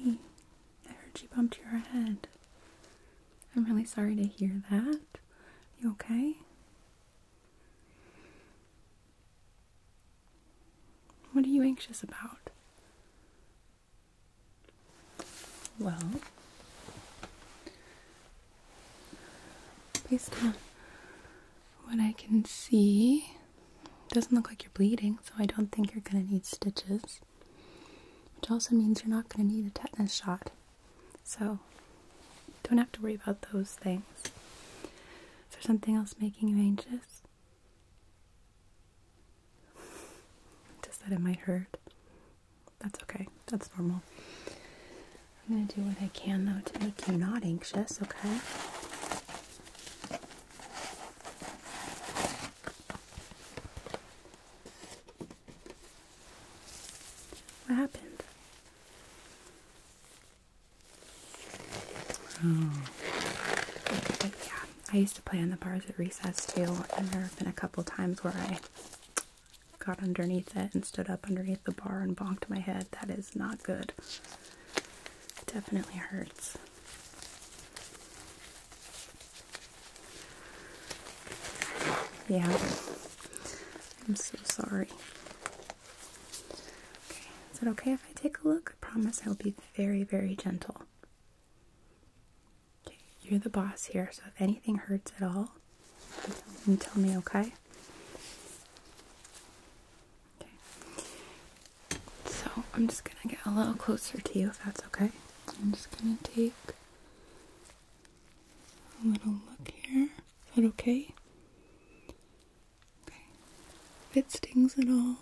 Hey, I heard you bumped your head. I'm really sorry to hear that. You okay? What are you anxious about? Well, based on what I can see, doesn't look like you're bleeding, so I don't think you're going to need stitches, which also means you're not going to need a tetanus shot. So, don't have to worry about those things. Is there something else making you anxious? Just that it might hurt. That's okay. That's normal. I'm going to do what I can, though, to make you not anxious, okay? What happened? yeah, I used to play on the bars at recess too, and there have been a couple times where I got underneath it and stood up underneath the bar and bonked my head. That is not good. definitely hurts. Yeah. I'm so sorry. Okay, is it okay if I take a look? I promise I'll be very, very gentle. Okay, you're the boss here, so if anything hurts at all, you tell me, okay? Okay. So I'm just gonna get a little closer to you if that's okay. I'm just gonna take a little look here. Is that okay? Okay. If it stings at all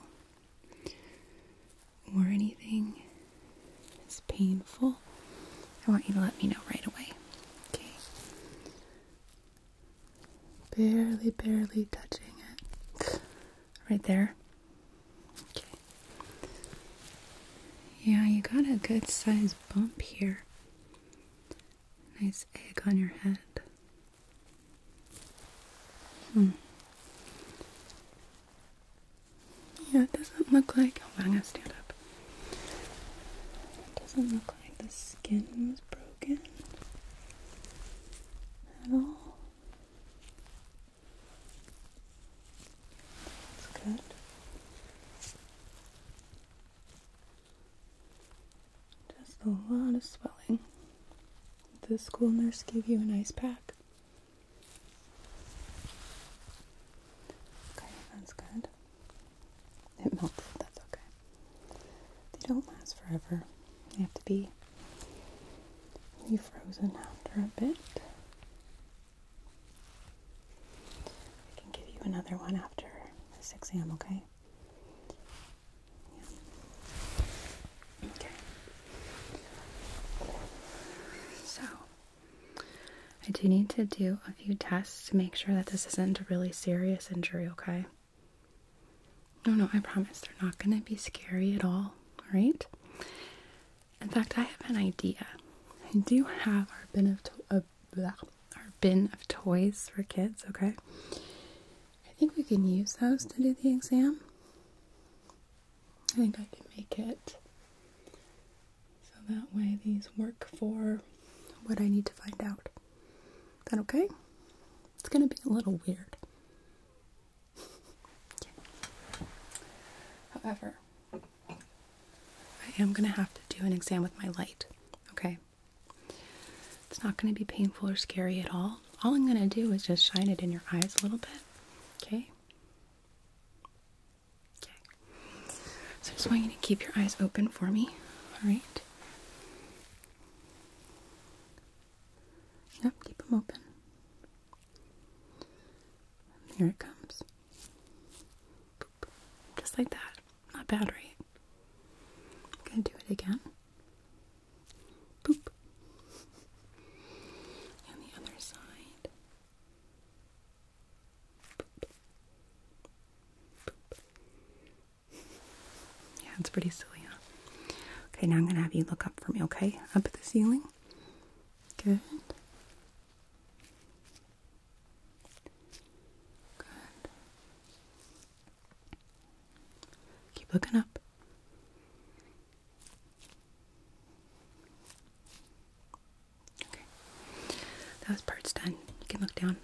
or anything is painful, I want you to let me know right away. Okay. Barely, barely touching it. Right there. Okay. Yeah, you got a good size bump here. Nice egg on your head. Hmm. Yeah, it doesn't look like. I'm gonna stand up. It doesn't look like the skin was broken at all. That's good. Just a lot of swelling. The school nurse gave you an ice pack. Okay, that's good. It melted, that's okay. They don't last forever. They have to be frozen after a bit. I can give you another one after this exam, okay? Okay. So, I do need to do a few tests to make sure that this isn't a really serious injury, okay? No, no, I promise they're not going to be scary at all, alright? In fact, I have an idea. I do have our benefit our bin of toys for kids, okay? I think we can use those to do the exam. I think I can make it so that way these work for what I need to find out. Is that okay? It's gonna be a little weird. However, I am gonna have to do an exam with my light, okay? It's not going to be painful or scary at all. All I'm going to do is just shine it in your eyes a little bit. Okay? Okay. So I just want you to keep your eyes open for me. All right? Yep, keep them open. Here it comes. Just like that. Not bad, right? I'm gonna do it again. Boop. And the other side. Boop. Boop. Yeah, it's pretty silly, huh? Okay, now I'm gonna have you look up for me, okay? Up at the ceiling. Good. Good. Keep looking up. Okay. That part's done. You can look down.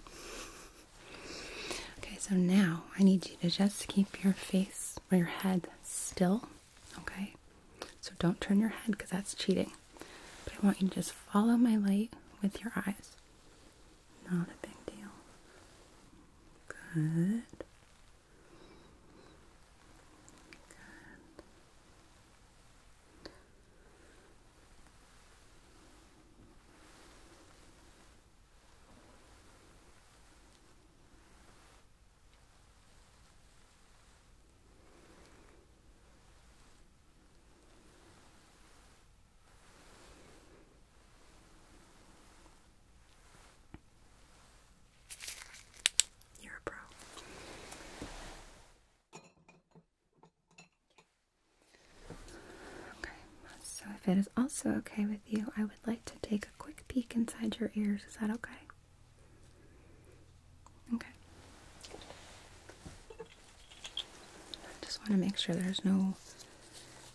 Okay, so now I need you to just keep your face or your head still. Okay? So don't turn your head because that's cheating. But I want you to just follow my light with your eyes. Not a big deal. Good. Good. You're a pro. Okay, so if it is also okay with you, I would like to take a quick peek inside your ears. Is that okay? Okay. Just want to make sure there's no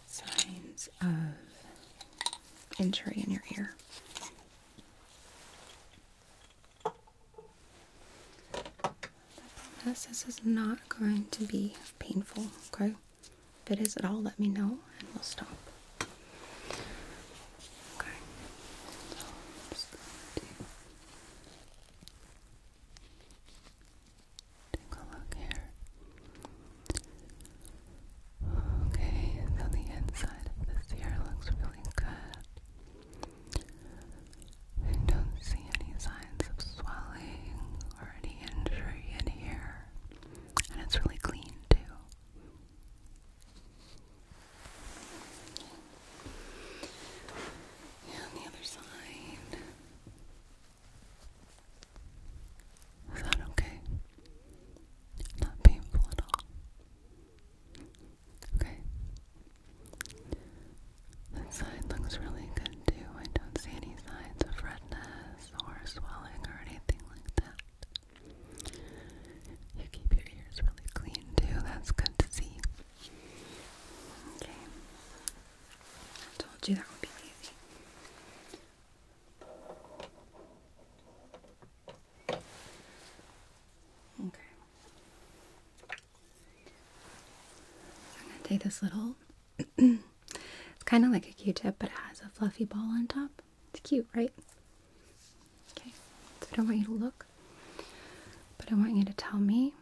signs of injury in your ear. this is not going to be painful, okay? If it is at all, let me know and we'll stop. Okay. Take a look here. Okay, so the inside of this ear looks really good. I don't see any signs of swelling or any injury in here. And it's really clean too. Yeah, the other side. Is that okay? Not painful at all. Okay. That side looks really good too. I don't see any signs of redness or swelling or anything like that. You keep your ears really clean too. That's good to see. Okay. I told you that would be easy. Okay. I'm going to take this little, it's kind of like a Q-tip, but it has a fluffy ball on top. It's cute, right? Okay, so I don't want you to look, but I want you to tell me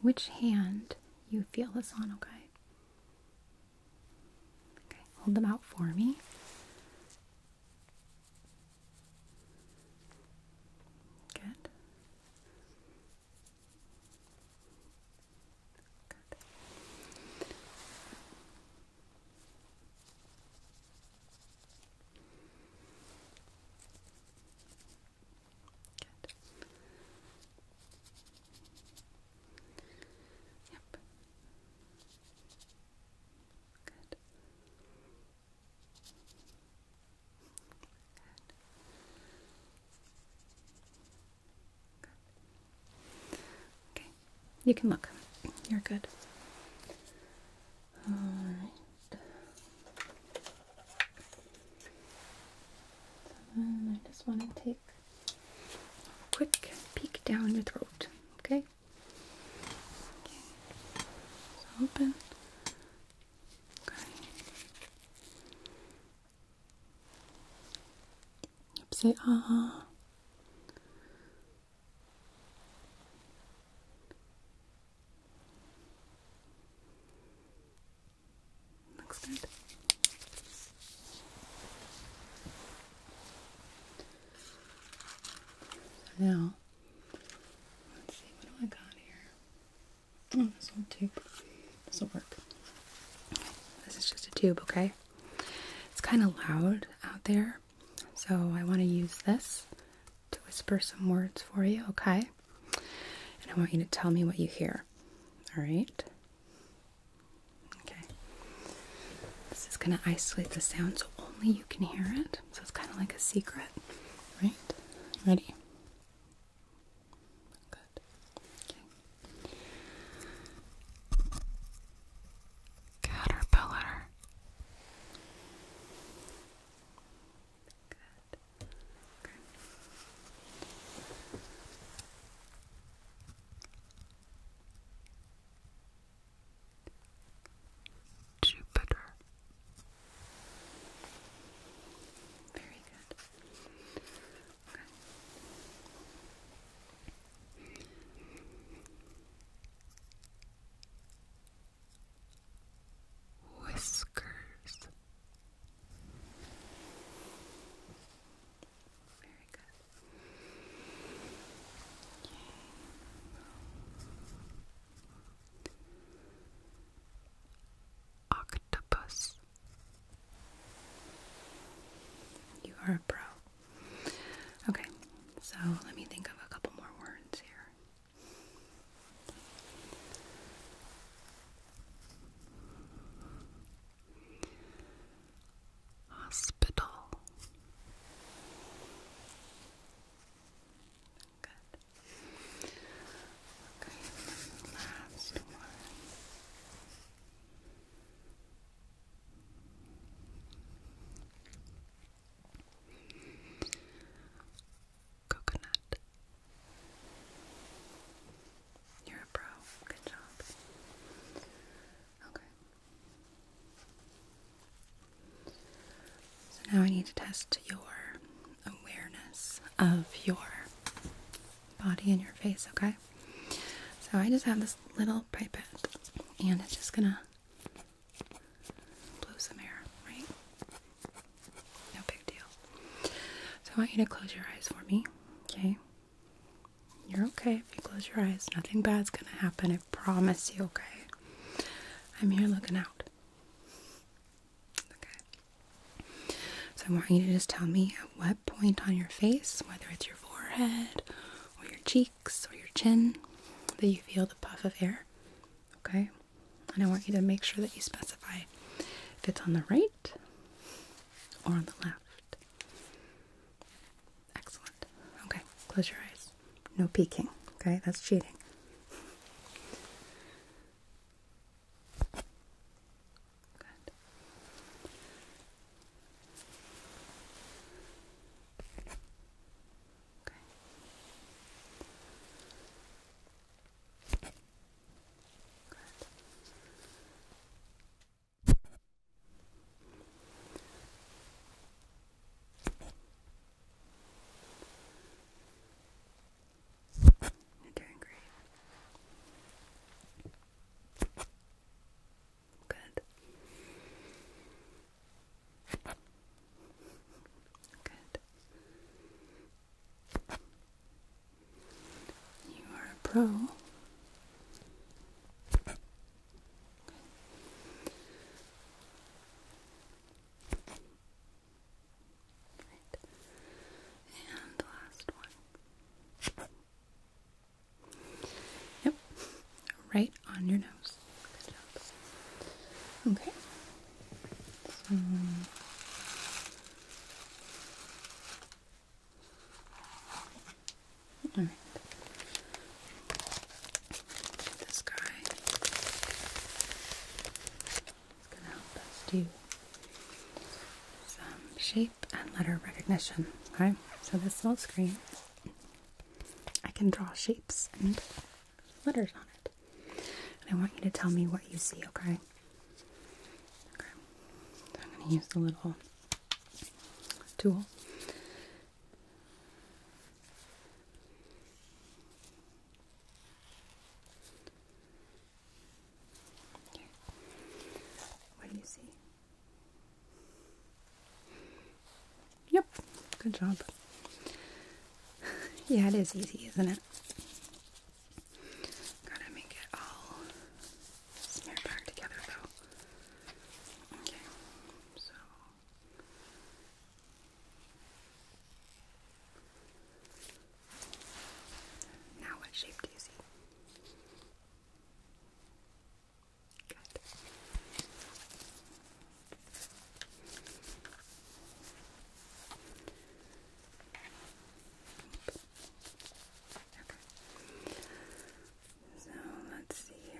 which hand you feel this on, okay? Okay, hold them out for me. Good. Good. Good. Yep. Good. Good. Good. Okay, you can look. You're good. All right. I just want to take a quick peek down your throat, okay? okay. open. Okay. Yep, ah. Looks good. Now, let's see, what do I got here? Oh, this whole tube. This will work. This is just a tube, okay? It's kind of loud out there, so I want to use this to whisper some words for you, okay? And I want you to tell me what you hear. All right? Okay. This is going to isolate the sound so only you can hear it. So it's kind of like a secret. Right? Ready? Good. Okay. Caterpillar. Jupiter. Very good. Whiskers. Octopus. You are a pro. Okay, so let me think of a couple more words here. Hospital. Good. Okay, last one coconut. You're a pro. Good job. Okay. So now I need to test your awareness of your body and your face, okay? So I just have this little pipette and it's just gonna blow some air, right? No big deal. So I want you to close your eyes for me, okay? You're okay if you close your eyes. Nothing bad's gonna happen, I promise you, okay? I'm here looking out. Okay. So I want you to just tell me at what point on your face, whether it's your forehead or your cheeks or your chin, that you feel the puff of air. Okay? And I want you to make sure that you specify if it's on the right or on the left. Excellent. Okay, close your eyes. No peeking. Okay, that's cheating. Good. Okay. Good. You're doing great. Good. Good. You are a pro. Right. And last one. Yep. Right on your nose. Good job. Okay. Alright. This guy is gonna help us do some shape and letter recognition. Okay, so this little screen I can draw shapes and letters on it. I want you to tell me what you see, okay? Okay. I'm going to use the little tool. What do you see? Yep, good job. Yeah, it is easy, isn't it? Gotta make it all smeared back together though. Okay, so. Now, what shape do you see? Good. So let's see here.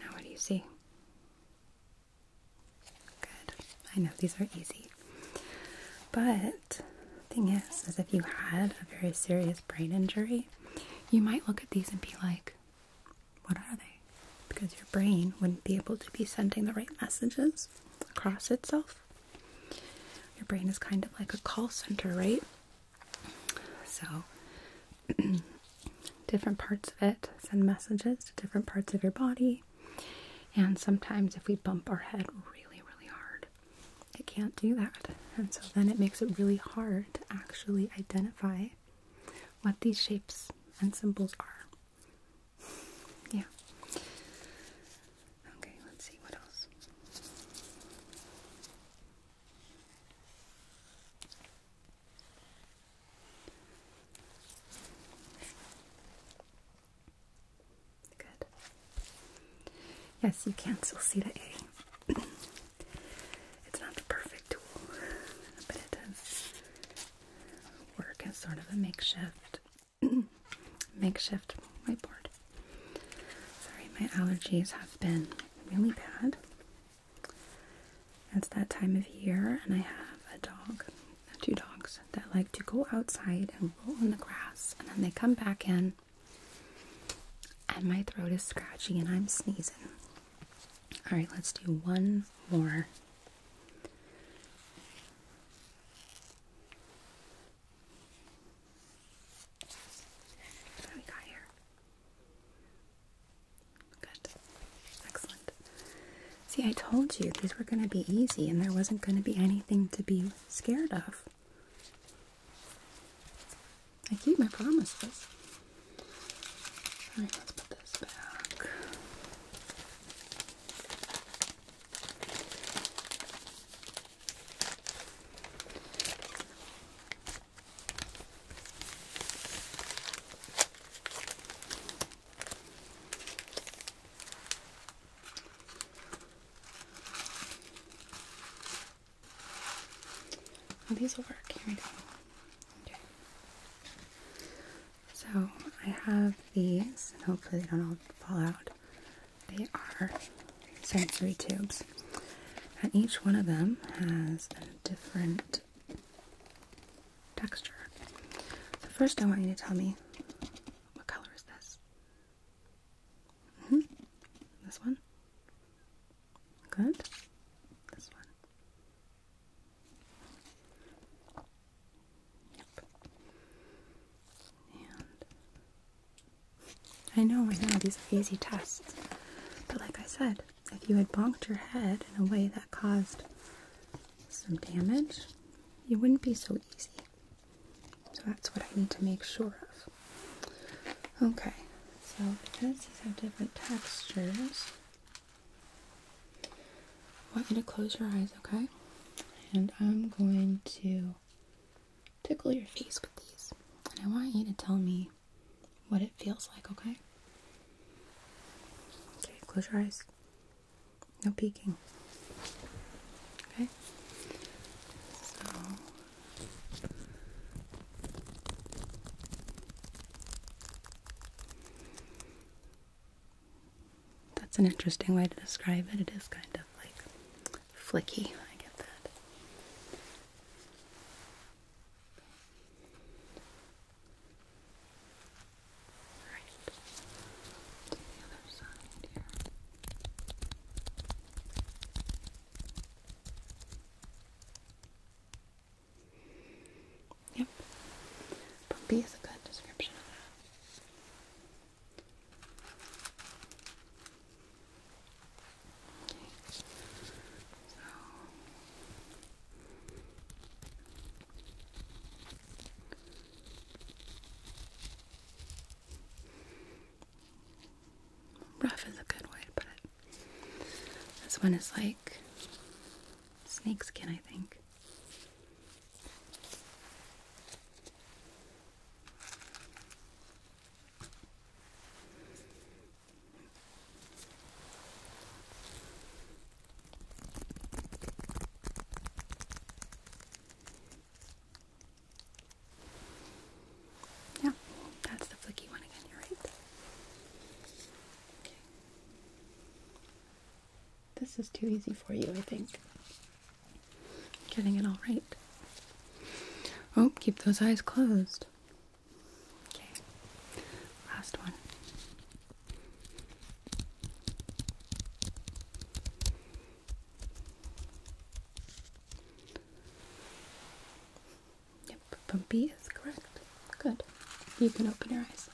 Now, what do you see? Good. I know these are easy. But the thing is, is if you had a very serious brain injury, you might look at these and be like, what are they? Because your brain wouldn't be able to be sending the right messages across itself. Your brain is kind of like a call center, right? So, different parts of it send messages to different parts of your body. And sometimes, if we bump our head really, really hard, it can't do that. And so then it makes it really hard to actually identify what these shapes and symbols are. Yeah. Okay, let's see what else. Good. Yes, you can still see the A it's not the perfect tool, but it does work as sort of a makeshift makeshift whiteboard. Sorry, my allergies have been really bad. It's that time of year, and I have a dog, two dogs, that like to go outside and roll in the grass, and then they come back in and my throat is scratchy and I'm sneezing. All right, let's do one more. What do we got here? Good. Excellent. See, I told you these were going to be easy and there wasn't going to be anything to be scared of. I keep my promises. Alright, let's put this back. Oh, these will work. Here we go. Okay. So I have these, and hopefully they don't all fall out. They are sensory tubes, and each one of them has a different texture. first, I want you to tell me what color is this? -hmm. This one. Good. This one. Yep. And I know, I know, these are easy tests. But like I said, if you had bonked your head in a way that caused some damage, it wouldn't be so easy. So that's what I need to make sure of. Okay, so because these have different textures, I want you to close your eyes, okay? And I'm going to tickle your face with these. And I want you to tell me what it feels like, okay? Okay, close your eyes. No peeking. Okay? So that's an interesting way to describe it. It is kind of like flicky. I get that. Right. Yep. Bumpy is a good description of that. Rough is a good way to put it. This one is like snake skin, I think. Yeah, that's the flicky one again, you're right. Okay. This is too easy for you, I think. Getting it all right. Oh, keep those eyes closed. Okay, last one. Yep, Bumpy is correct. Good. You can open your eyes.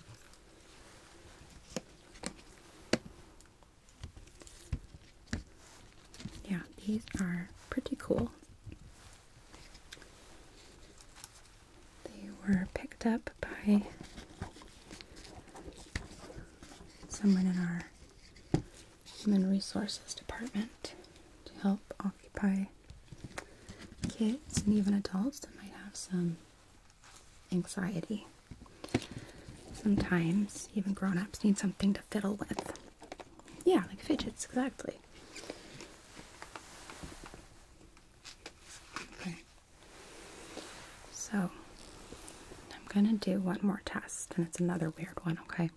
Yeah, these are pretty cool. They were picked up by someone in our Human Resources Department to help occupy kids and even adults that might have some anxiety. Sometimes even grown ups need something to fiddle with. Yeah, like fidgets, exactly. Okay. So, I'm gonna do one more test, and it's another weird one, okay?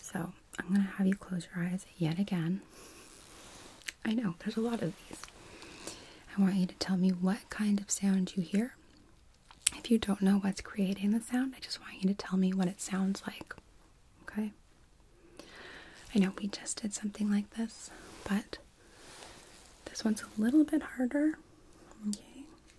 So I'm gonna have you close your eyes yet again. I know there's a lot of these. I want you to tell me what kind of sound you hear. If you don't know what's creating the sound, I just want you to tell me what it sounds like. Okay? I know we just did something like this, but this one's a little bit harder. Okay.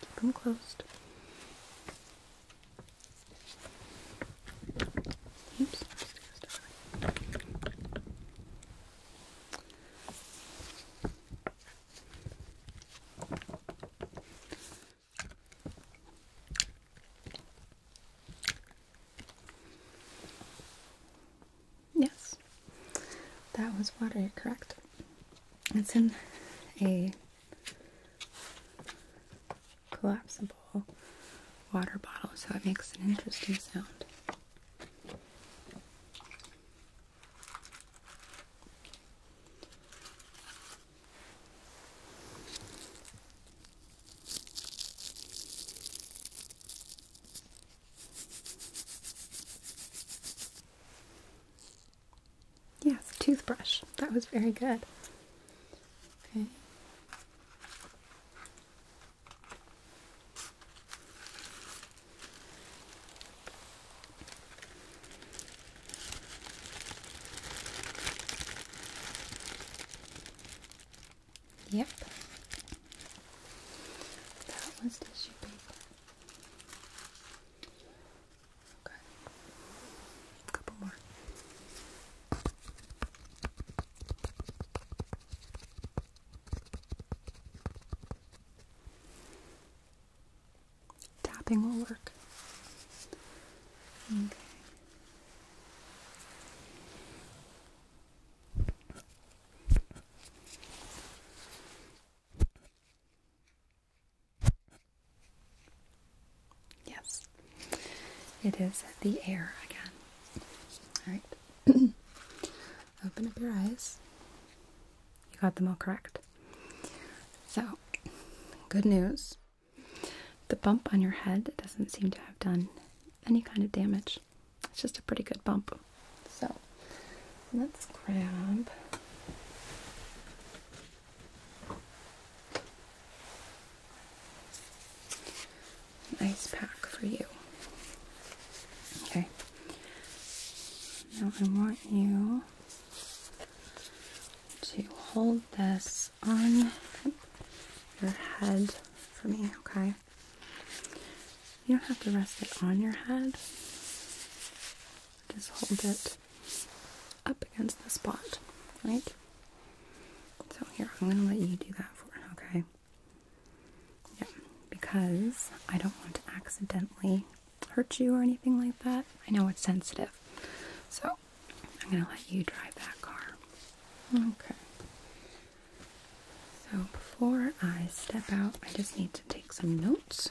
Keep them closed. Oops. Yes, that was water, correct? It's in a collapsible water bottle, so it makes an interesting sound. Yes, toothbrush. That was very good. Okay. Yep. That was tissue paper. Okay. couple more. Tapping will work. Okay. Yes, it is the air again. All right, open up your eyes. You got them all correct. So, good news the bump on your head doesn't seem to have done any kind of damage, it's just a pretty good bump. So, let's grab Nice pack for you. Okay. Now I want you to hold this on your head for me, okay? You don't have to rest it on your head. Just hold it up against the spot, right? So here, I'm gonna let you do that for okay? Yeah, because I don't want to accidentally hurt you or anything like that. I know it's sensitive. So I'm gonna let you drive that car. Okay. So before I step out, I just need to take some notes.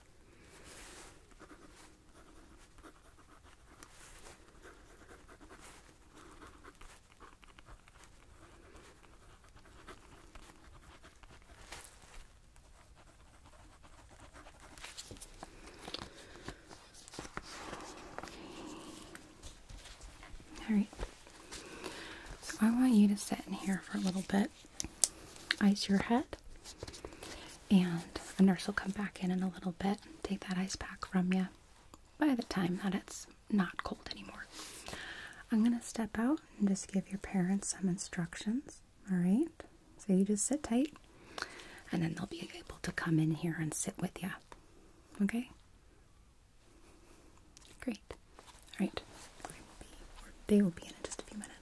All right. So I want you to sit in here for a little bit ice your head. And a nurse will come back in in a little bit and take that ice pack from you by the time that it's not cold anymore. I'm going to step out and just give your parents some instructions. All right. So you just sit tight and then they'll be able to come in here and sit with you. Okay? Great. All right. they will be in just a few minutes.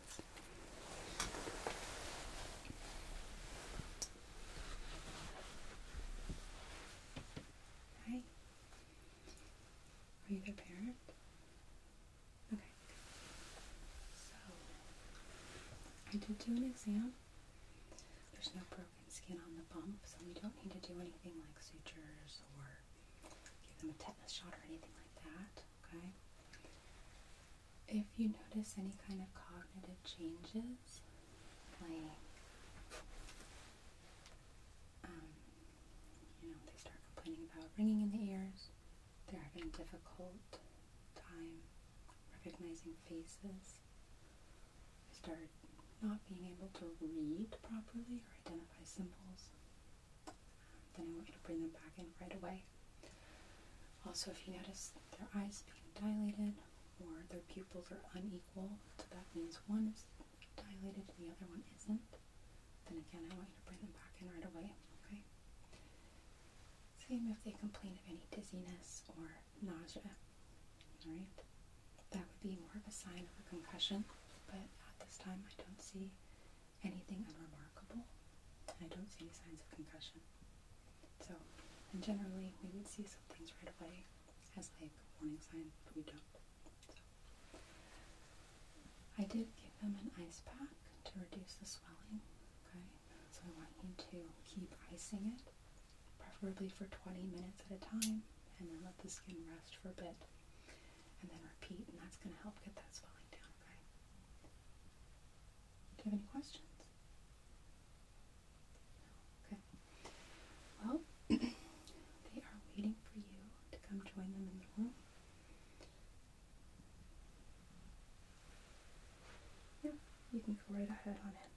Hi. Are you their parent? Okay. So, I did do an exam. There's no broken skin on the bump, so we don't need to do anything like sutures or give them a tetanus shot or anything like that okay? If you notice any kind of cognitive changes, like, um, you know, they start complaining about ringing in the ears, they're having difficult time recognizing faces, they start not being able to read properly or identify symbols, then I want you to bring them back in right away. Also, if you notice their eyes being dilated or their pupils are unequal, so that means one is dilated and the other one isn't, then again, I want you to bring them back in right away, okay? Same if they complain of any dizziness or nausea, alright? That would be more of a sign of a concussion, but at this time, I don't see anything unremarkable. I don't see any signs of concussion. So, and generally we would see some things right away as like warning signs, but we don't. So, I did give them an ice pack to reduce the swelling. Okay, so I want you to keep icing it, preferably for 20 minutes at a time, and then let the skin rest for a bit and then repeat, and that's going to help get that swelling down, okay? Do you have any questions? Okay. Well, they are waiting for you to come join them in the room. Yeah, you can go right ahead on in.